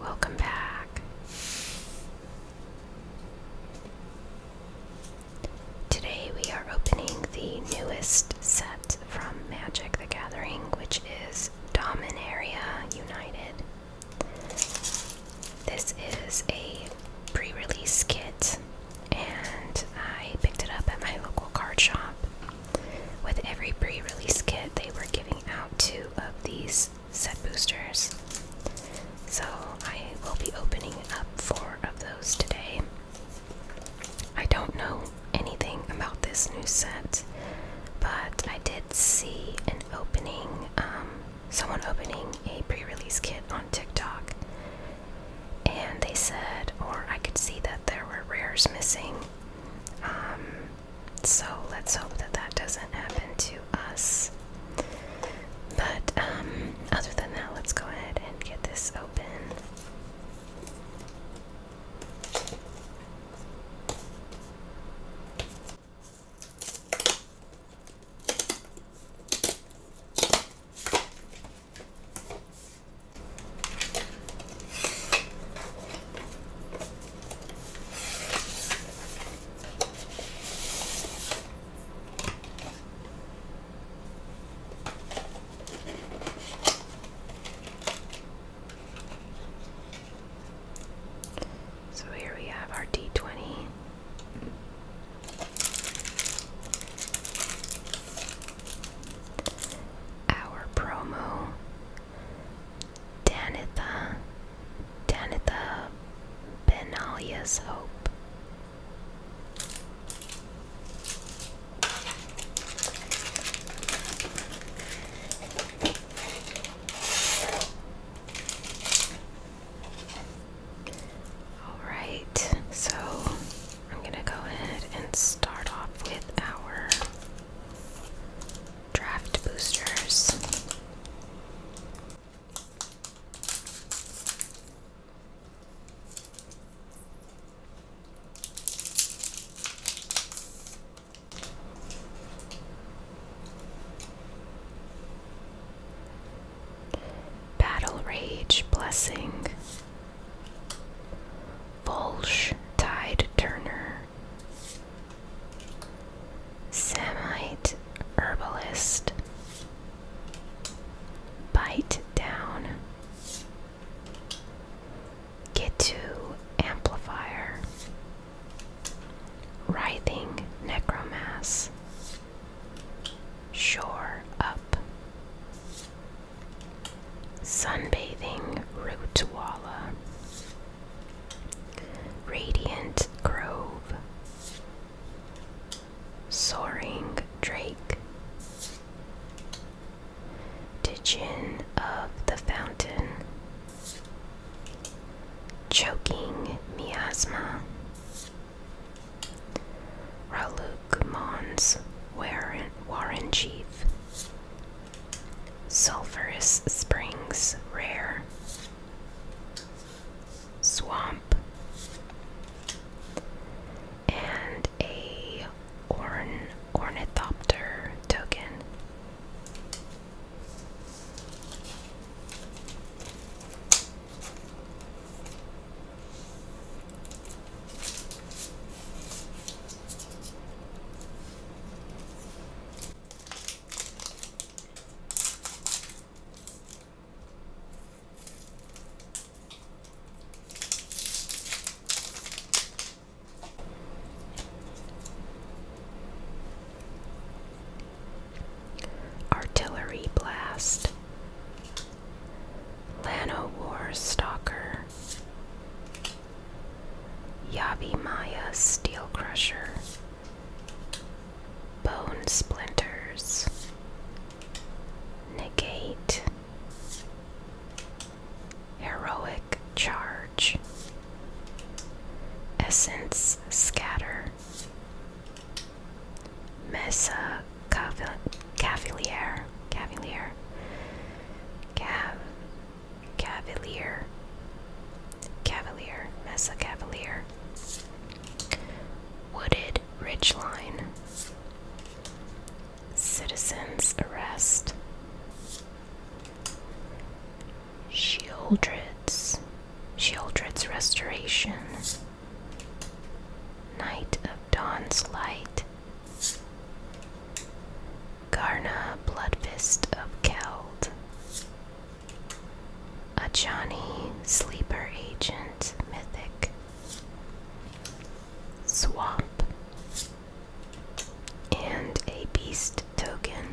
Welcome back. Today we are opening the newest set from Magic the Gathering, which is Dominaria United. This is a pre release kit, and I picked it up at my local card shop. With every pre release kit, they were giving out two of these set boosters. So I will be opening up four of those today. I don't know anything about this new set, but I did see an opening, um, someone opening a pre release kit on TikTok. And they said, or I could see that there were rares missing. Um, so let's hope that that doesn't happen to us. But um, other than that, let's go ahead and get this open. So here we have our D20. Our promo Danitha, Danitha Benalia's Hope. Alright, so I'm going to go ahead and start off with our draft boosters. Battle Rage Blessing Volsh Tide Turner, Samite Herbalist, Bite Down, Get to Amplifier, Writhing Necromass, Shore Up, Sunbathing Rootwalla, Radiant Grove, Soaring Drake, Digin of the Fountain, Choking Miasma, Raluk Mons war Warren Chief, Sulphurous Springs, rare. Swamp. And a ornithopter token. Artillery Blast, Lano War Stalker, Yabimaya Steel Crusher, Bone Splinters, Negate, Heroic Charge, Essence Scatter, Mesa Cavalier, Cavalier, Cav, Cavalier, Cavalier, Mesa Cavalier, Wooded line, Citizens Arrest, Shieldred's, Shieldred's Restoration, night of Dawn's Light, Garna Bloodfist of Keld. Ajani Sleeper Agent Mythic. Swamp. And a Beast Token.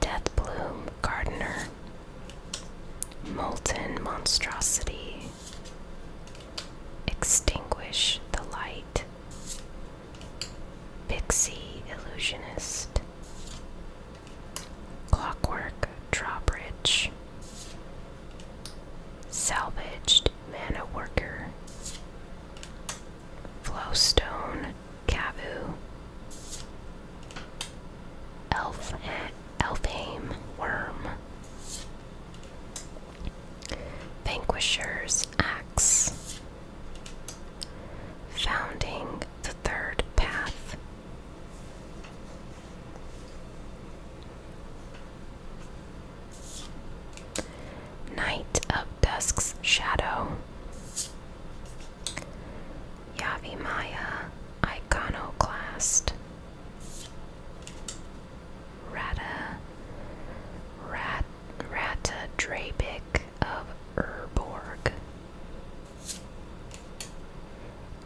Death Bloom Gardener Molten Monstrosity Extinguish the Light, Pixie Illusionist, Clockwork Drawbridge, Salvaged Mana Worker, Flowstone Cavu, Elf Elfheim Worm. Vanquisher's Axe. Founding the Third Path. Night of Dusk's Shadow. Yavimaya Iconoclast. Rata Rat Rata Drabic of Urborg.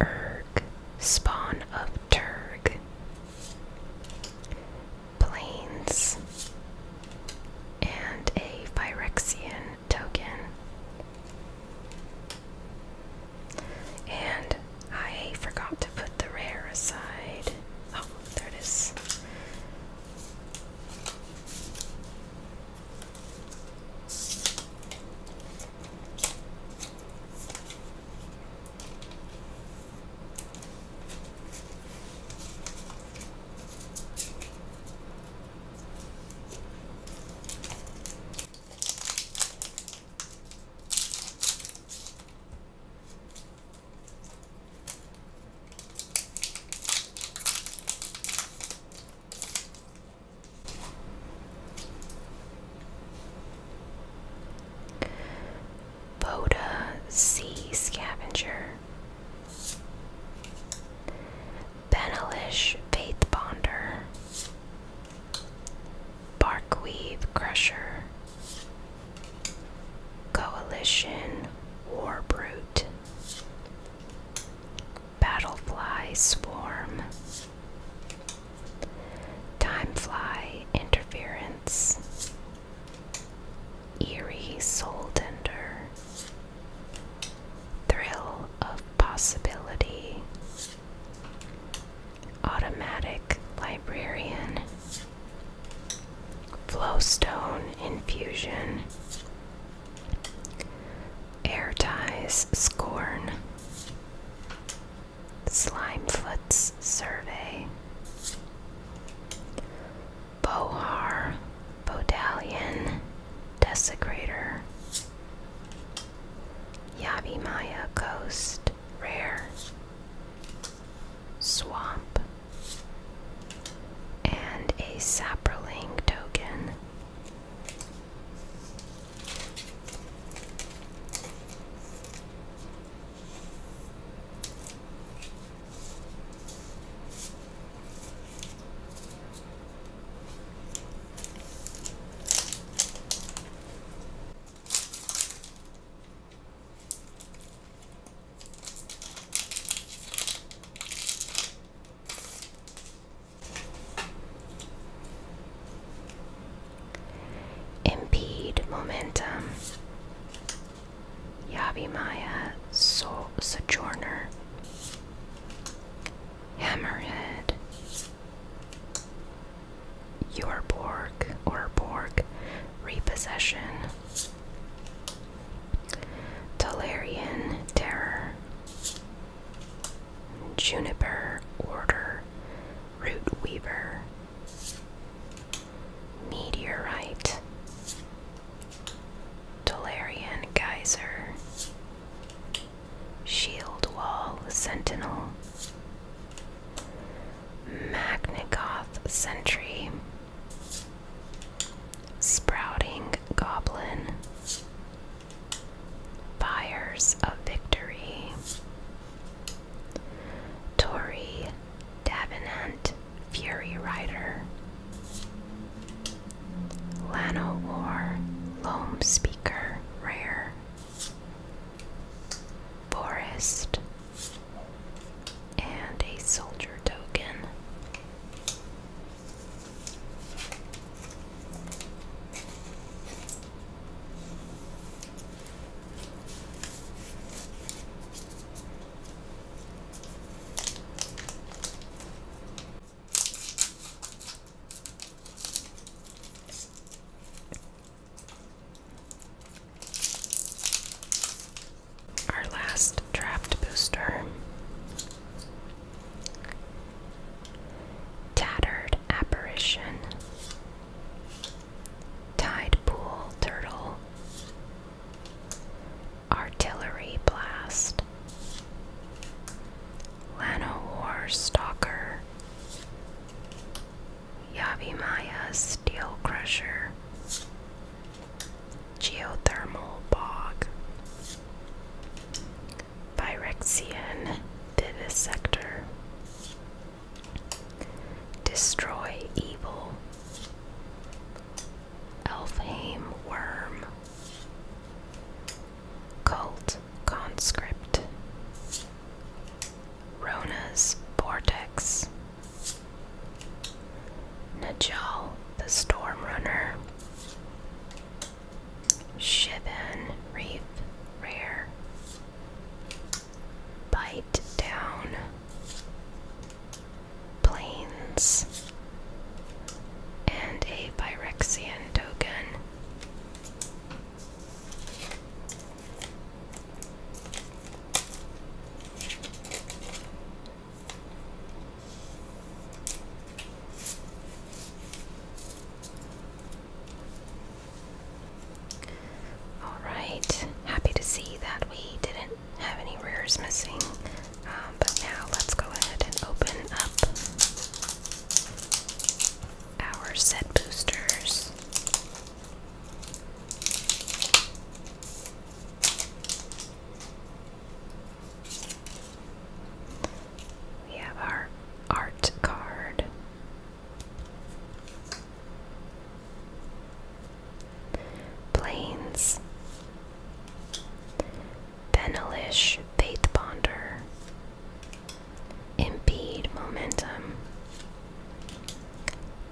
Erg, spawn of Turg. Plains and a Phyrexian token. And I forgot to put the rare aside. Oh, there it is. Boda Sea Scavenger Benelish Faith Bonder Barkweave Crusher, Coalition war Warbrute, Battlefly Swarm, Timefly Interference, Eerie Soul Tender, Thrill of Possibility, Automatic Librarian, Flowstone Infusion, Air Ties Scorn, Slimefoot's Survey, Bohar, Bodalion, Desecrator, Yabimaya Coast, rare. Swamp. And a sapling token. Impede momentum. Yavimaya so Sojourner. Hammerhead. Your Yorborg or Borg repossession Tolarian terror Juniper order root weaver meteorite Tolarian geyser Shield Wall Sentinel, Magnagoth Sentry, Sprouting Goblin, Fires of Victory, Tori Davenant Fury Rider, Lano Loam Speaker, rare. Forest and a soldier token. Our last draft booster. Tattered Apparition. Tide Turtle. Artillery Blast. Lanowar Stalker, Yabimaya Steel Crusher, Geothermal Bog, Pyrexian Divisector, Destroy Evil, Elfheim Worm. Cult Conscript Rona's Vortex Najal the Storm Runner Shivan Reef Rare Bite Down Plains and a Phyrexian token Alright, happy to see that we didn't have any rears missing. Um, but now let's go ahead and open up our set boosters. We have our art card. Planes, Benelish Faith Bonder, Impede Momentum,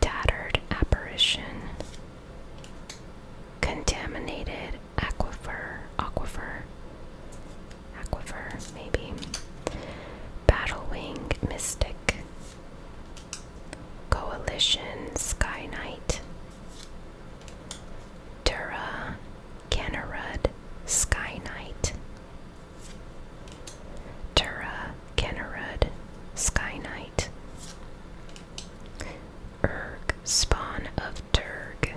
Tattered Apparition, Contaminated Aquifer, Aquifer, Aquifer, maybe, Battlewing Mystic, Coalition Sky Knight, Dura, Kennerud, Sky Knight. Dura, Kennerud, Sky Knight. Urg, spawn of Turg.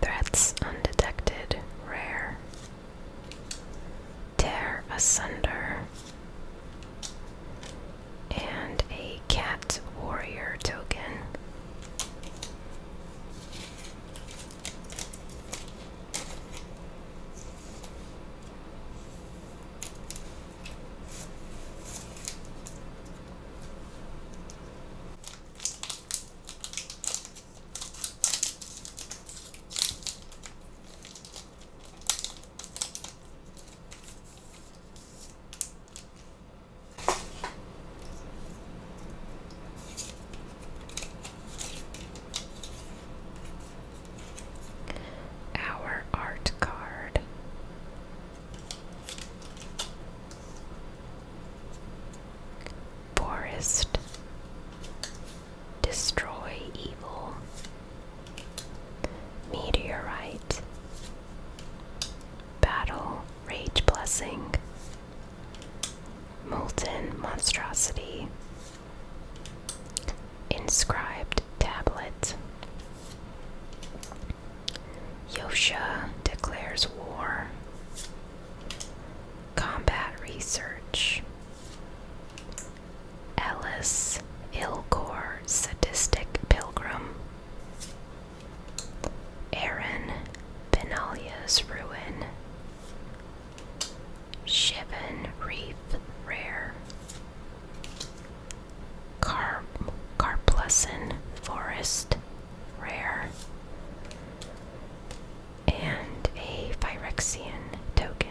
Threats undetected, rare. Tear asunder and a cat warrior token. Our art card. Forest. Destroy evil. Meteorite. Battle, Rage Blessing, Molten Monstrosity, Inscribed Tablet. Yosha declares war. Combat research. Ellis Ilgor Sadistic Pilgrim. Aaron, Benalia's Ruin, Shivan Reef Rare, Car Carplusson Forest Rare, and a Phyrexian token.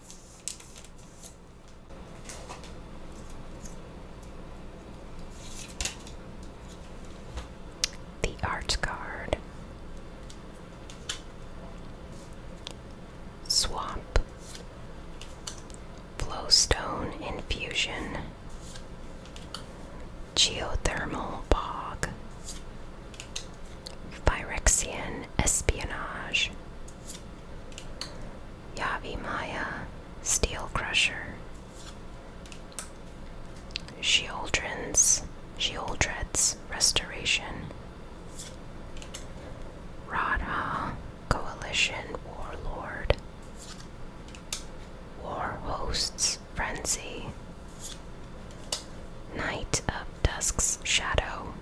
The Arts Guard, Swamp, Flowstone Infusion, Geothermal Bog, Phyrexian Espionage, Yavimaya, Steel Crusher, Sheoldren's, Sheoldred's Restoration, Radha, Coalition Warlord, War Host's Frenzy, Knight of Dusk's Shadow,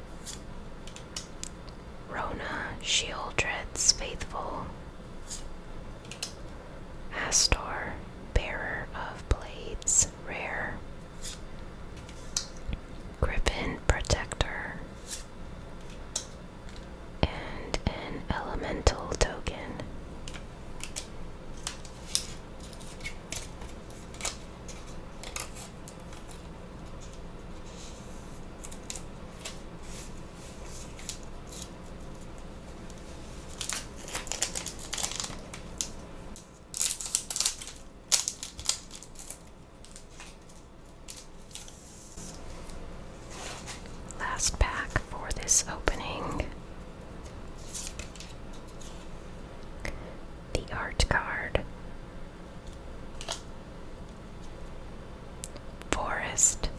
Rona, Sheoldred's faithful. Astor, bearer of blades, rare. Griffin, protector. And an elemental token. Last pack for this opening. The art card, Forest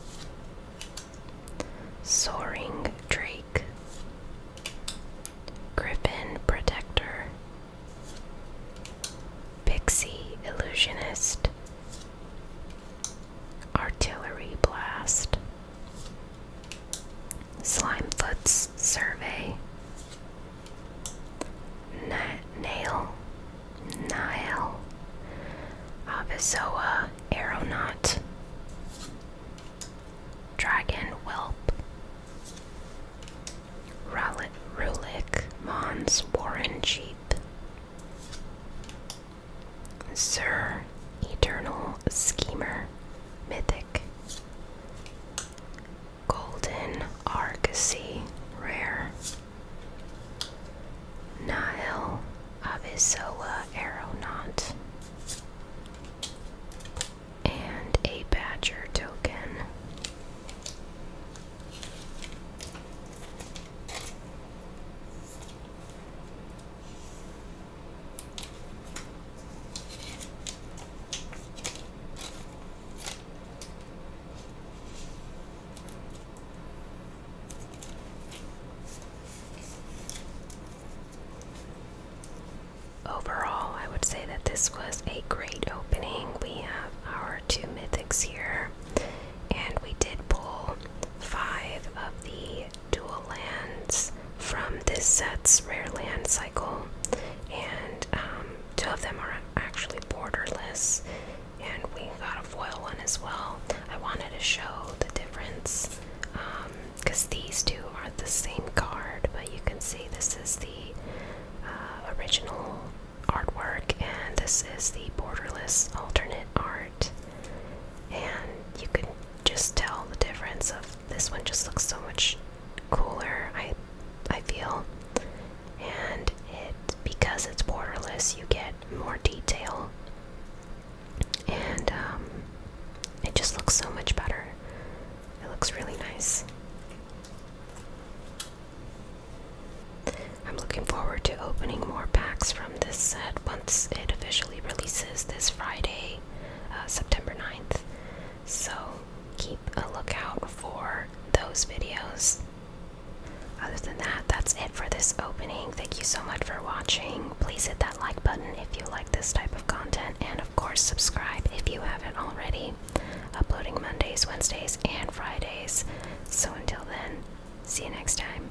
Soaring Drake Griffin Protector Pixie Illusionist Artillery Blast Slimefoot's Survey Nail, Nile, Avizoa, Aeronaut, Dragon, Whelp, Rowlet, Rulik, Mons, Warren, Sheep, Sir, Eternal Schemer, Mythic, Golden Argosy, rare. Nile Abisoa Aeronaut. And a Badger token. Overall, I would say that this was a great opening. We have our two mythics here, and we did pull five of the dual lands from this set's rare land cycle, and um, Two of them are actually borderless, and we got a foil one as well. I wanted to show the difference because um, these two are the same card, but you can see this is the uh, original artwork, and this is the borderless alternate art. And you can just tell the difference of this one just looks so much cooler, I I feel. And it because it's borderless, you get more detail, and um, it just looks so much better. It looks really nice. I'm looking forward to opening more packs from this set once it officially releases this Friday, uh, September 9th. So keep a lookout for those videos. Other than that, that's it for this opening. Thank you so much for watching. Please hit that like button if you like this type of content, and of course, subscribe if you haven't already. Uploading Mondays, Wednesdays, and Fridays. So until then, see you next time.